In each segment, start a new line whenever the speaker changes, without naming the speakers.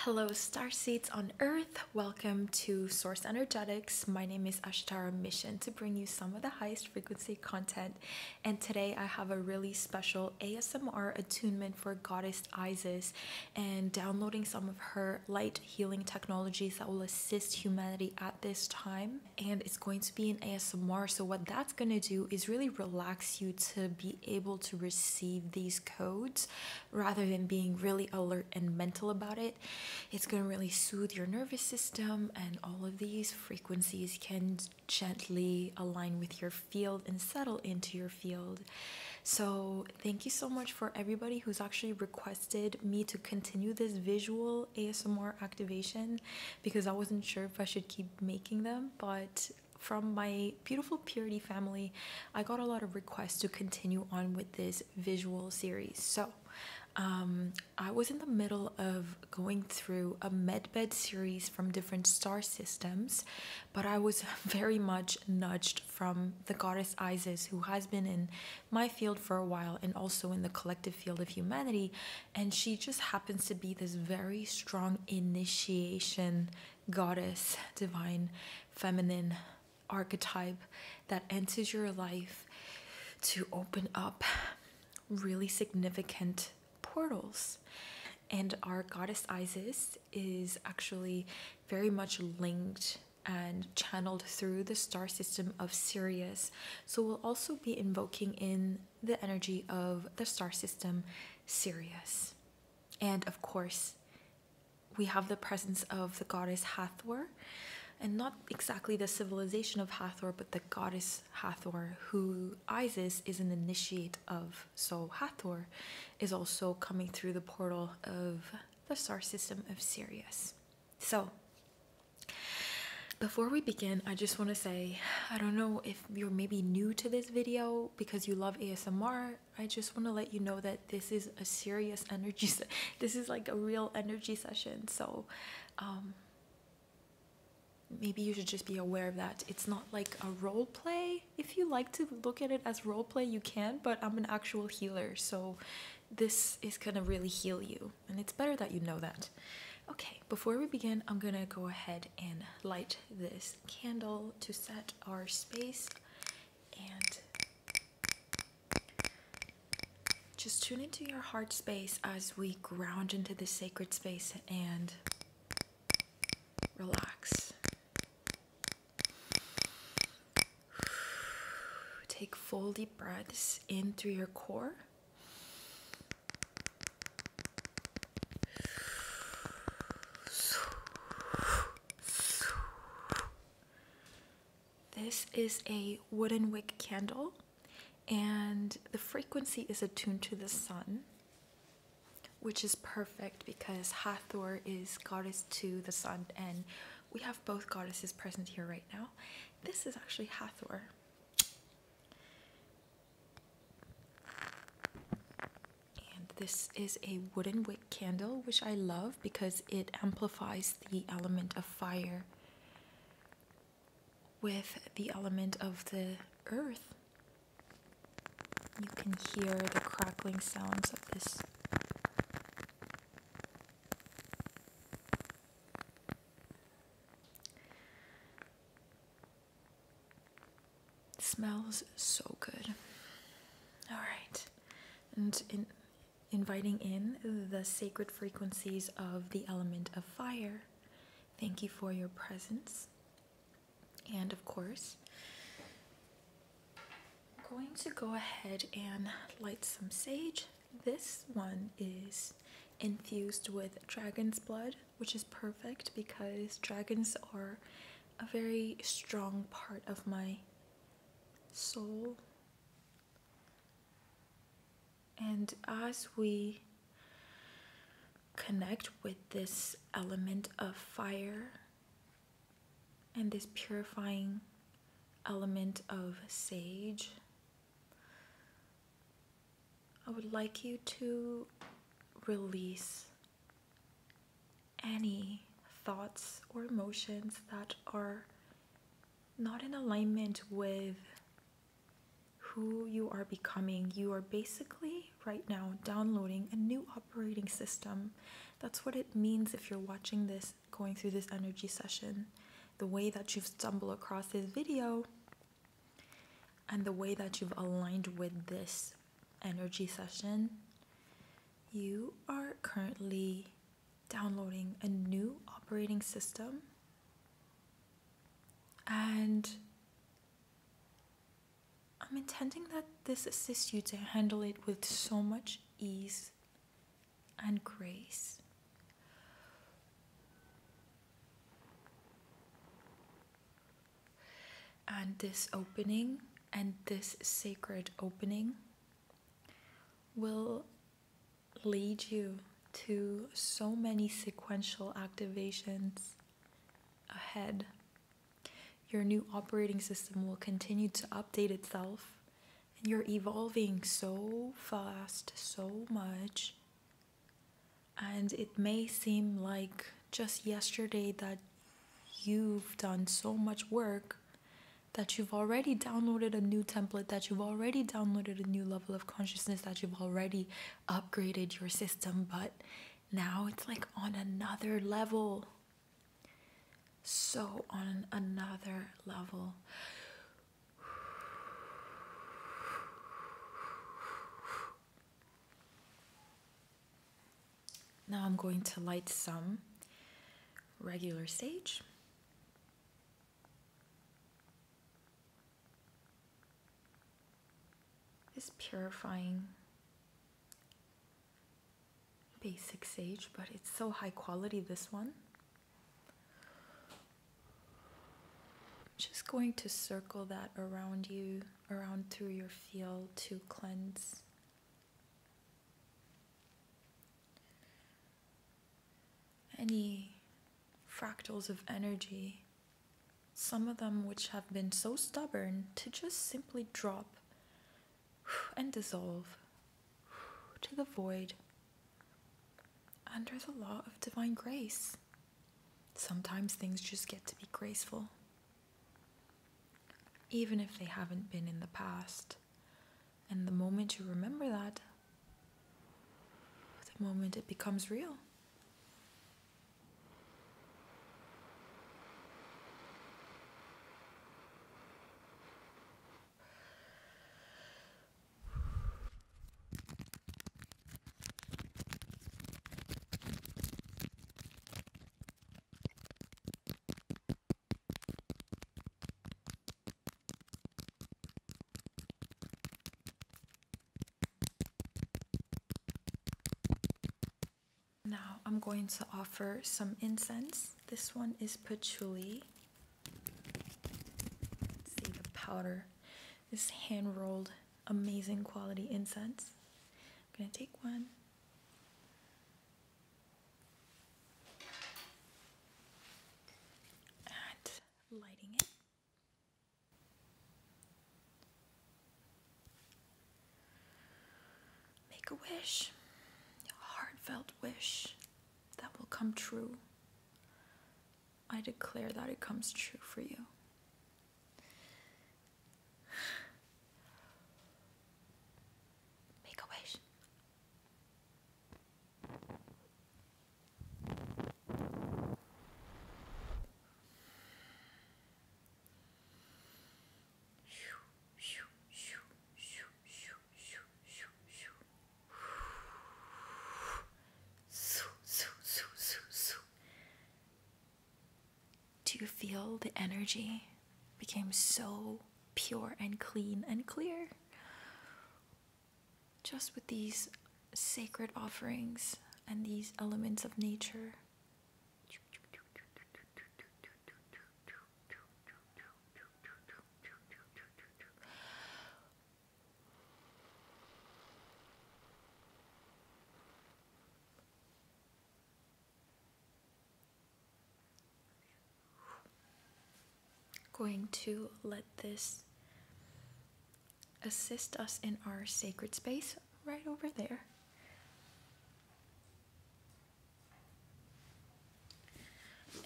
Hello, star seeds on earth. Welcome to Source Energetics. My name is Ashitara Mission to bring you some of the highest frequency content. And today I have a really special ASMR attunement for Goddess Isis and downloading some of her light healing technologies that will assist humanity at this time. And it's going to be an ASMR. So, what that's going to do is really relax you to be able to receive these codes rather than being really alert and mental about it. It's going to really soothe your nervous system, and all of these frequencies can gently align with your field and settle into your field. So, thank you so much for everybody who's actually requested me to continue this visual ASMR activation because I wasn't sure if I should keep making them, but from my beautiful Purity family, I got a lot of requests to continue on with this visual series. So, um, I was in the middle of going through a medbed series from different star systems, but I was very much nudged from the goddess Isis, who has been in my field for a while and also in the collective field of humanity. And she just happens to be this very strong initiation goddess, divine, feminine archetype that enters your life to open up really significant portals. And our goddess Isis is actually very much linked and channeled through the star system of Sirius. So we'll also be invoking in the energy of the star system Sirius. And of course, we have the presence of the goddess Hathor, and not exactly the civilization of Hathor, but the goddess Hathor, who Isis is an initiate of. So Hathor is also coming through the portal of the star system of Sirius. So, before we begin, I just want to say I don't know if you're maybe new to this video because you love ASMR I just want to let you know that this is a serious energy. this is like a real energy session. So, um, maybe you should just be aware of that. It's not like a role play. If you like to look at it as role play, you can, but I'm an actual healer. So, this is going to really heal you. And it's better that you know that. Okay, before we begin, I'm going to go ahead and light this candle to set our space and just tune into your heart space as we ground into this sacred space and relax. Take full deep breaths in through your core this is a wooden wick candle, and the frequency is attuned to the sun, which is perfect because Hathor is goddess to the sun, and we have both goddesses present here right now. This is actually Hathor. And this is a wooden wick candle, which I love because it amplifies the element of fire with the element of the earth. You can hear the crackling sounds of this smells so good. All right. And in inviting in the sacred frequencies of the element of fire. Thank you for your presence. And of course, I'm going to go ahead and light some sage. This one is infused with dragon's blood, which is perfect because dragons are a very strong part of my soul. And as we connect with this element of fire and this purifying element of sage, I would like you to release any thoughts or emotions that are not in alignment with who you are becoming. You are basically right now downloading a new operating system. That's what it means if you're watching this, going through this energy session. The way that you've stumbled across this video and the way that you've aligned with this energy session, you are currently downloading a new operating system and I'm intending that this assists you to handle it with so much ease and grace and this opening and this sacred opening will lead you to so many sequential activations ahead. Your new operating system will continue to update itself, and you're evolving so fast, so much. And it may seem like just yesterday that you've done so much work that you've already downloaded a new template, that you've already downloaded a new level of consciousness, that you've already upgraded your system, but now it's like on another level. So, on another level. Now I'm going to light some regular sage. This purifying basic sage, but it's so high quality, this one. I'm just going to circle that around you around through your field to cleanse. Any fractals of energy, some of them which have been so stubborn to just simply drop and dissolve to the void under the law of divine grace. Sometimes things just get to be graceful even if they haven't been in the past. And the moment you remember that, the moment it becomes real. Now I'm going to offer some incense. This one is patchouli. see the powder. This hand rolled, amazing quality incense. I'm gonna take one and lighting it. Make a wish, heartfelt wish that will come true. I declare that it comes true for you. Make a wish. Shoo, shoo, shoo, shoo, shoo, shoo, shoo, shoo. Soo, soo, soo, soo, soo. Do you feel the energy became so pure and clean and clear? Just with these sacred offerings and these elements of nature. Going to let this assist us in our sacred space right over there.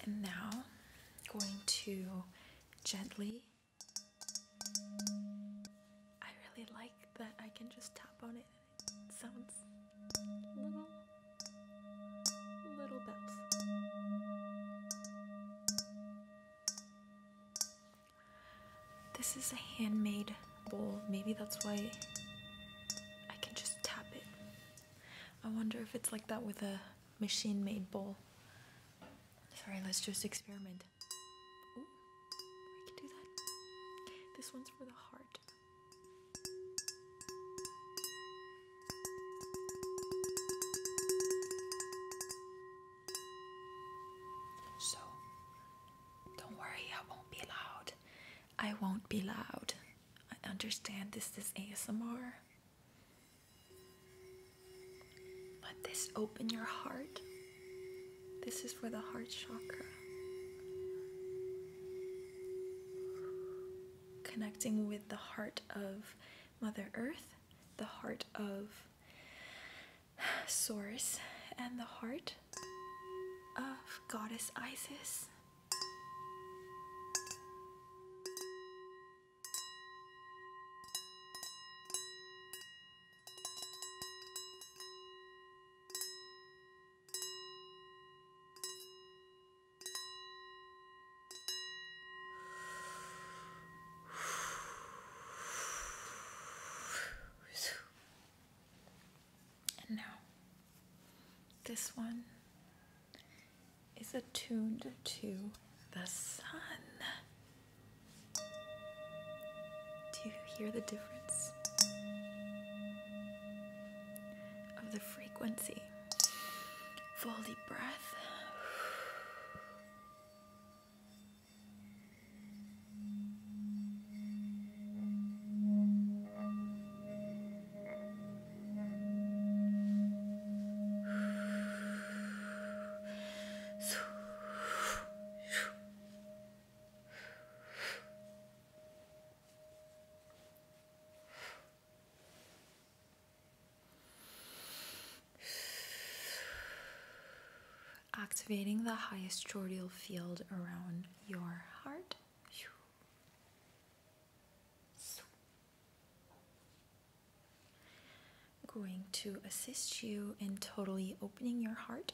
And now, going to gently. I really like that I can just tap on it sounds little little bells. This is a handmade bowl. Maybe that's why I can just tap it. I wonder if it's like that with a machine made bowl. Sorry, let's just experiment we can do that. This one's for the heart. So, don't worry, I won't be loud. I won't be loud. I understand this is ASMR. Let this open your heart this is for the heart chakra. Connecting with the heart of Mother Earth, the heart of Source, and the heart of Goddess Isis. And now, this one is attuned to the sun. Do you hear the difference? of the frequency. Full deep breath. Activating the highest choroidal field around your heart. Going to assist you in totally opening your heart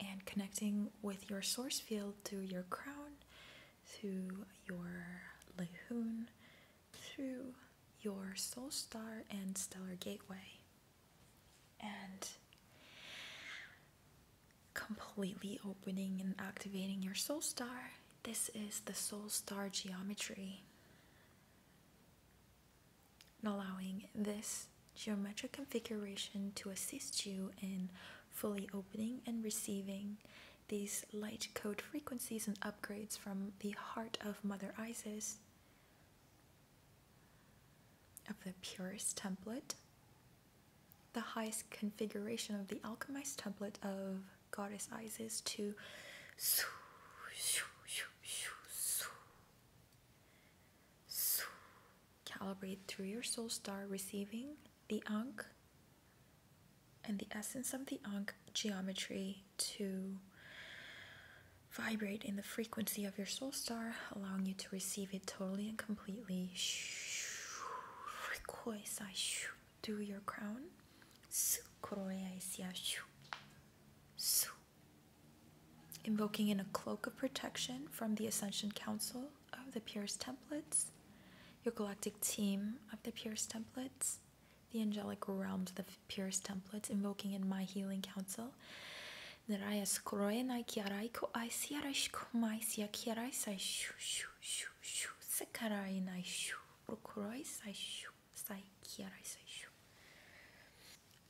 and connecting with your source field through your crown, through your Lehun, through your soul star and stellar gateway, and completely opening and activating your soul star. This is the soul star geometry allowing this geometric configuration to assist you in fully opening and receiving these light code frequencies and upgrades from the heart of Mother Isis, of the purest template, the highest configuration of the alchemized template of Goddess Isis to Calibrate through your soul star, receiving the Ankh and the essence of the Ankh geometry to vibrate in the frequency of your soul star, allowing you to receive it totally and completely. Through your crown invoking in a cloak of protection from the Ascension Council of the Pierce Templates, your galactic team of the Pierce Templates, the angelic realms of the Pierce Templates, invoking in my healing council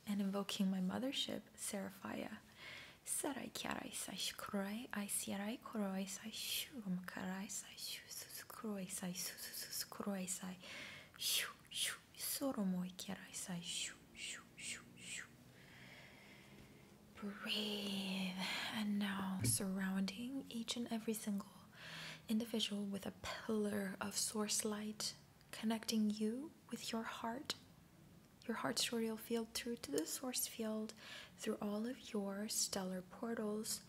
and invoking my mothership, Seraphia. Serai, kiarai sai shkurai, I sierai koroi sai shurum karai sai shusus kuroi sai susus kuroi sai shu shu shu shu shu shu. Breathe and now surrounding each and every single individual with a pillar of source light connecting you with your heart your heart will field through to the source field, through all of your stellar portals,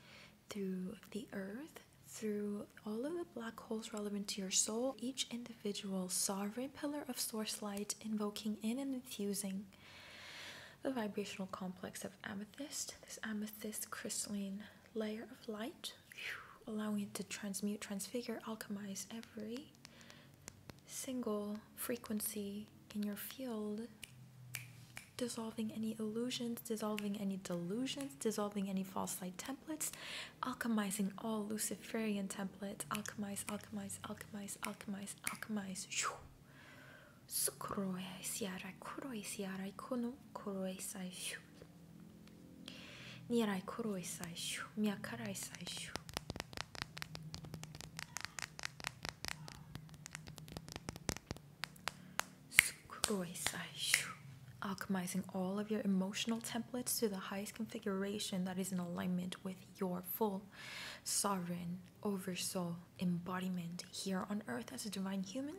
through the earth, through all of the black holes relevant to your soul, each individual sovereign pillar of source light, invoking in and infusing the vibrational complex of amethyst, this amethyst crystalline layer of light, allowing it to transmute, transfigure, alchemize every single frequency in your field, dissolving any illusions, dissolving any delusions, dissolving any false light templates, alchemizing all Luciferian templates, alchemize, alchemize, alchemize, alchemize, alchemize. Sukroe siarai kuroi siarai kono kuroi sai Nirai koroi saishu, miyakarai saishu. Sukuroi saishu. Alchemizing all of your emotional templates to the highest configuration that is in alignment with your full sovereign oversoul embodiment here on earth as a divine human.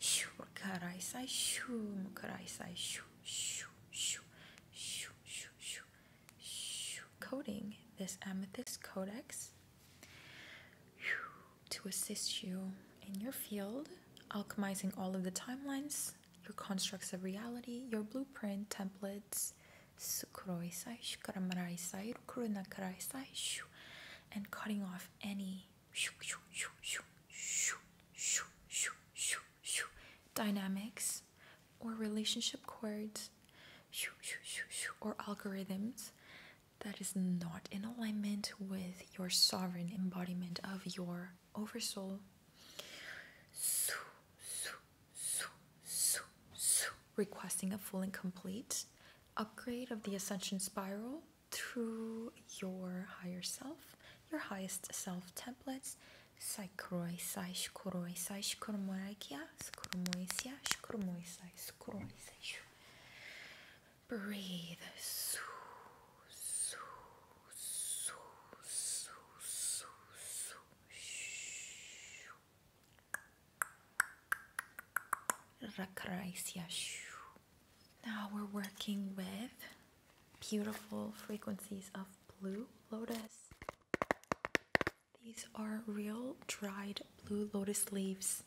Shu karai sai shu karai sai shu shu shu shu shu shoo, shoo, shoo, coating this amethyst codex to assist you in your field, alchemizing all of the timelines, your constructs of reality, your blueprint templates, and cutting off any dynamics or relationship cords or algorithms that is not in alignment with your sovereign embodiment of your oversoul. Requesting a full and complete upgrade of the ascension spiral to your higher self, your highest self templates, Saikroisai, shkoroisai, shkoroikia, skoroisia, shkoroisai, skoroisai. Breathe. Su, su, su, su, su, su. Shoo. Now we're working with beautiful frequencies of blue lotus. These are real dried blue lotus leaves,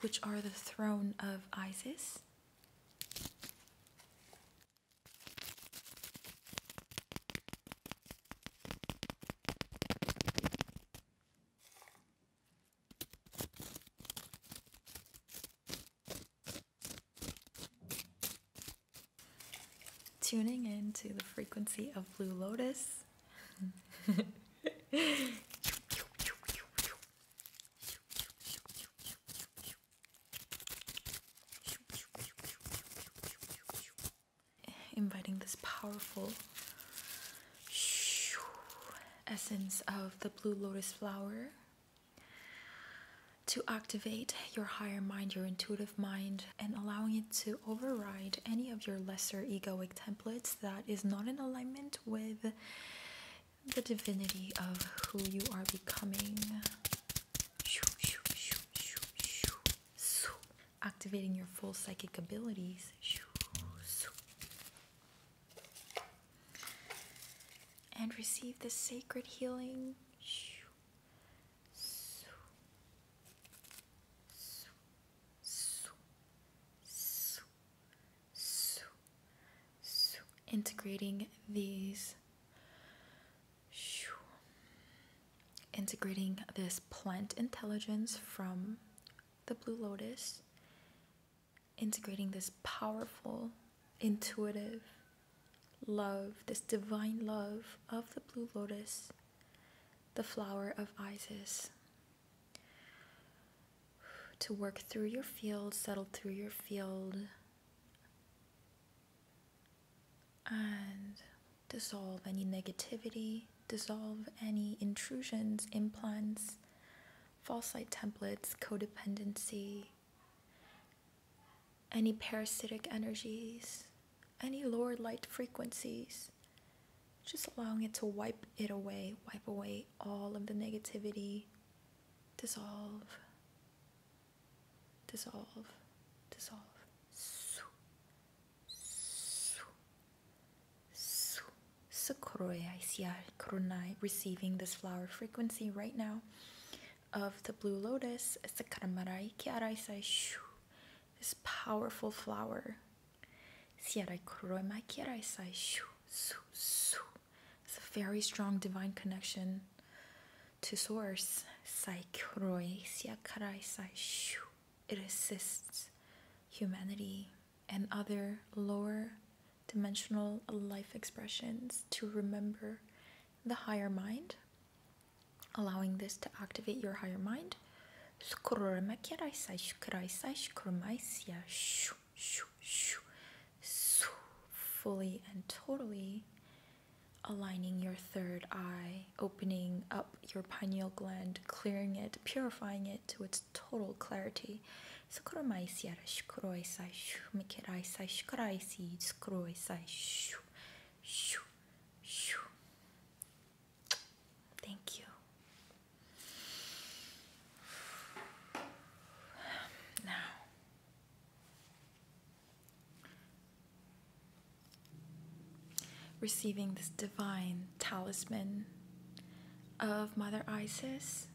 which are the throne of Isis. Tuning in to the frequency of Blue Lotus. Inviting this powerful essence of the blue lotus flower to activate your higher mind, your intuitive mind, and allowing it to override any of your lesser egoic templates that is not in alignment with the divinity of who you are becoming. Activating your full psychic abilities. And receive the sacred healing integrating these integrating this plant intelligence from the blue lotus integrating this powerful intuitive love, this divine love of the blue lotus, the flower of Isis, to work through your field, settle through your field, and dissolve any negativity, dissolve any intrusions, implants, false light templates, codependency any parasitic energies, any lower light frequencies, just allowing it to wipe it away, wipe away all of the negativity, dissolve, dissolve, dissolve. Sakroya Isiar Krunai receiving this flower frequency right now of the blue lotus. It's the Karamarai Kiaraisai Shu, this powerful flower. Sierai Kuroi Kiaraisai Shu, Su, Su. It's a very strong divine connection to source. Sai Kuroi Siakaraisai Shu. It assists humanity and other lower dimensional life expressions to remember the higher mind, allowing this to activate your higher mind. Fully and totally aligning your third eye, opening up your pineal gland, clearing it, purifying it to its total clarity shoo, shoo, Thank you. Now, receiving this divine talisman of Mother Isis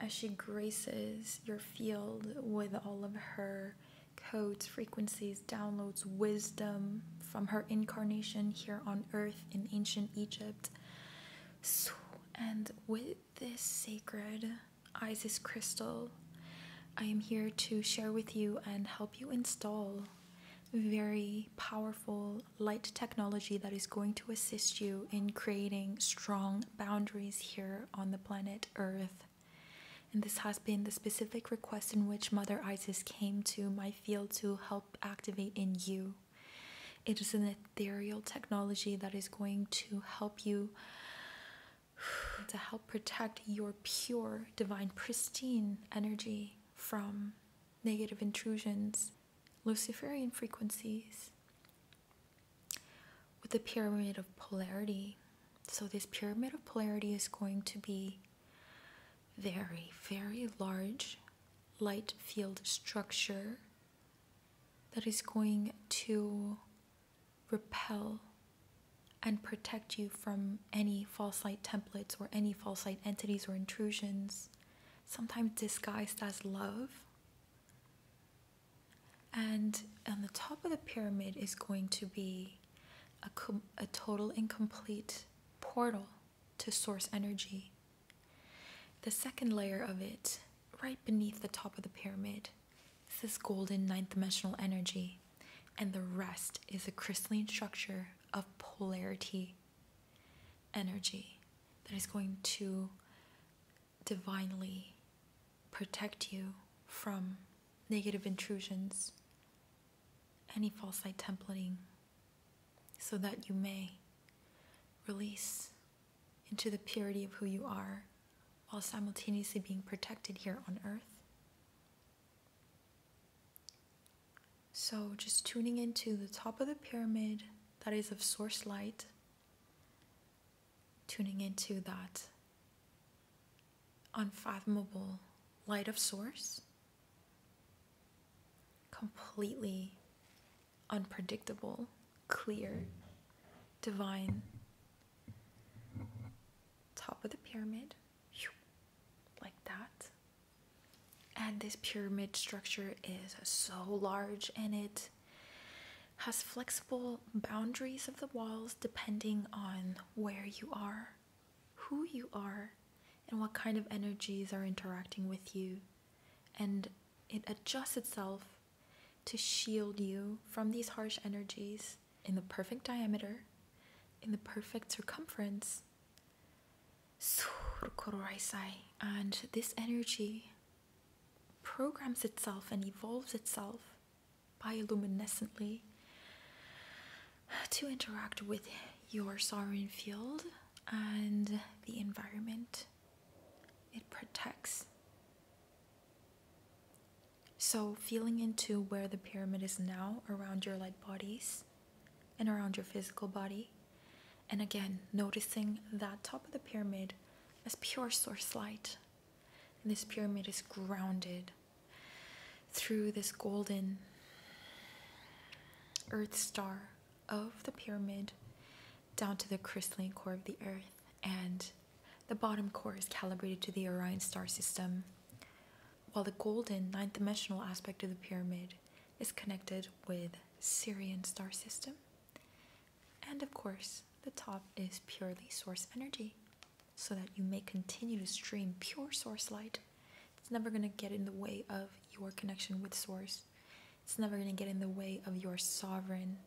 as she graces your field with all of her codes, frequencies, downloads wisdom from her incarnation here on earth in ancient Egypt. and with this sacred Isis crystal, I am here to share with you and help you install very powerful light technology that is going to assist you in creating strong boundaries here on the planet Earth. And this has been the specific request in which Mother Isis came to my field to help activate in you. It is an ethereal technology that is going to help you to help protect your pure, divine, pristine energy from negative intrusions, Luciferian frequencies, with the pyramid of polarity. So, this pyramid of polarity is going to be very, very large light field structure that is going to repel and protect you from any false light templates or any false light entities or intrusions, sometimes disguised as love. And on the top of the pyramid is going to be a, a total incomplete portal to source energy. The second layer of it, right beneath the top of the pyramid, is this golden ninth dimensional energy. And the rest is a crystalline structure of polarity energy that is going to divinely protect you from negative intrusions, any false light templating, so that you may release into the purity of who you are while simultaneously being protected here on earth. So, just tuning into the top of the pyramid that is of source light tuning into that unfathomable light of source, completely unpredictable, clear, divine, top of the pyramid, like that. And this pyramid structure is so large and it has flexible boundaries of the walls depending on where you are, who you are, and what kind of energies are interacting with you. And it adjusts itself to shield you from these harsh energies in the perfect diameter, in the perfect circumference. And this energy programs itself and evolves itself bioluminescently to interact with your sarin field and the environment. It protects. So, feeling into where the pyramid is now around your light bodies and around your physical body. And again, noticing that top of the pyramid as pure source light and this pyramid is grounded through this golden earth star of the pyramid down to the crystalline core of the earth. And the bottom core is calibrated to the Orion star system, while the golden nine dimensional aspect of the pyramid is connected with Sirian star system and of course, the top is purely source energy so that you may continue to stream pure source light. It's never going to get in the way of your connection with source. It's never going to get in the way of your sovereign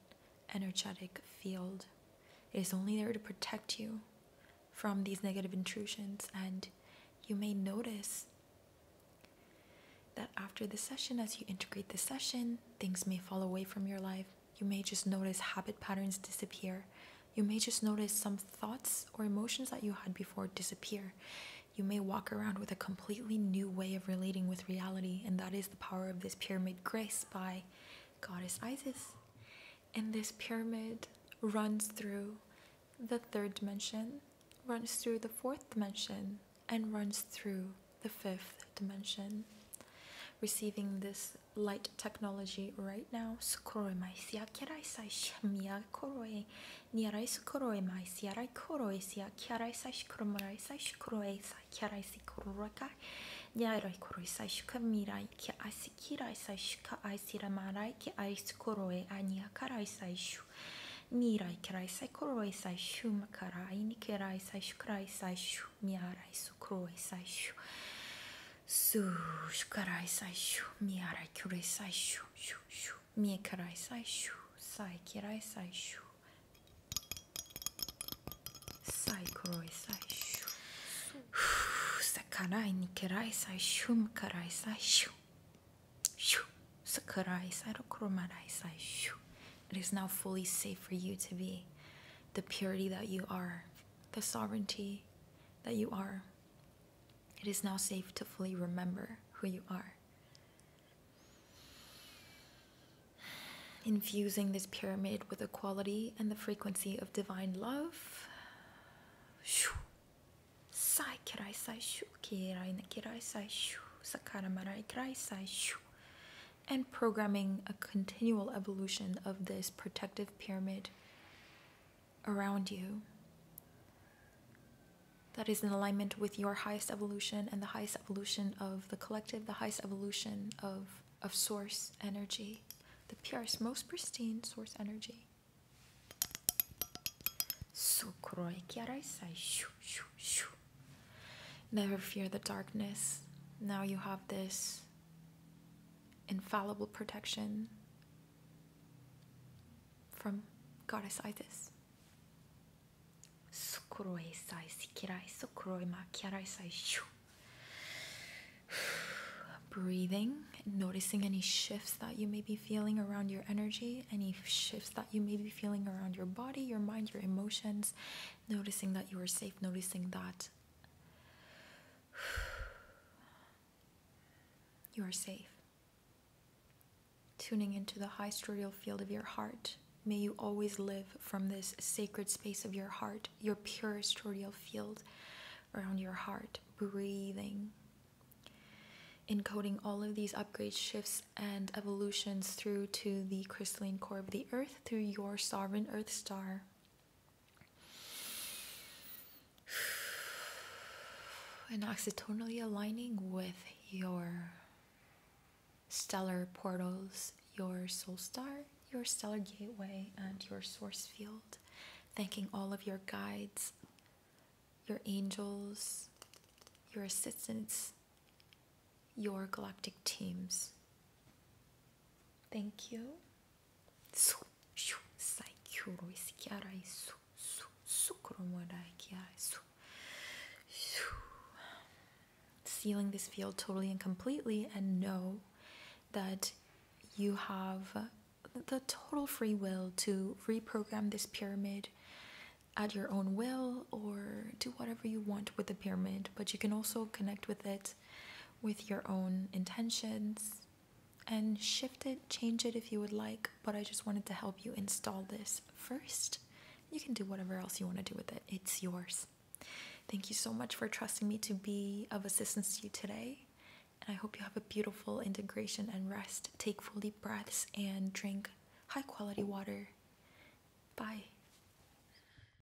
energetic field. It is only there to protect you from these negative intrusions and you may notice that after the session as you integrate the session, things may fall away from your life you may just notice habit patterns disappear. You may just notice some thoughts or emotions that you had before disappear. You may walk around with a completely new way of relating with reality, and that is the power of this pyramid grace by goddess Isis. And this pyramid runs through the third dimension, runs through the fourth dimension, and runs through the fifth dimension. Receiving this light technology right now. Sukoromai kiarai sai shmia koroi. Niarai sukoroi mai siarai koroi sia kiarai sai shkromarai sai shkroi sai kiarai si kororakai. Niarai koroi sai shkamirai ki asikirai sai shka ai siramarai ki ai sukoroi ania karai sai shu. Nirai kirai sai koroi sai shumakarai ni kirai sai shkrai sai shu miarai sukroi saishu su shkarai saishu miarai kurai saishu shu shu miekarai saishu sai kirai saishu sai kuroi saishu sakarai nikirai saishu mkarai saishu shu sakarai sairo kuromarai saishu it is now fully safe for you to be the purity that you are, the sovereignty that you are. It is now safe to fully remember who you are. Infusing this pyramid with the quality and the frequency of divine love and programming a continual evolution of this protective pyramid around you that is in alignment with your highest evolution and the highest evolution of the collective, the highest evolution of, of source energy, the purest, most pristine source energy. Never fear the darkness. Now you have this infallible protection from Goddess Isis. breathing, noticing any shifts that you may be feeling around your energy, any shifts that you may be feeling around your body, your mind, your emotions, noticing that you are safe, noticing that You are safe. Tuning into the high stereo field of your heart, may you always live from this sacred space of your heart, your pure stereo field around your heart, breathing encoding all of these upgrade shifts and evolutions through to the crystalline core of the earth through your sovereign earth star and accidentally aligning with your stellar portals, your soul star, your stellar gateway, and your source field. Thanking all of your guides, your angels, your assistants, your galactic teams. Thank you. Sealing this field totally and completely, and know that you have the total free will to reprogram this pyramid at your own will or do whatever you want with the pyramid, but you can also connect with it with your own intentions and shift it, change it if you would like. But I just wanted to help you install this first. You can do whatever else you want to do with it, it's yours. Thank you so much for trusting me to be of assistance to you today. And I hope you have a beautiful integration and rest. Take full deep breaths and drink high quality water. Bye.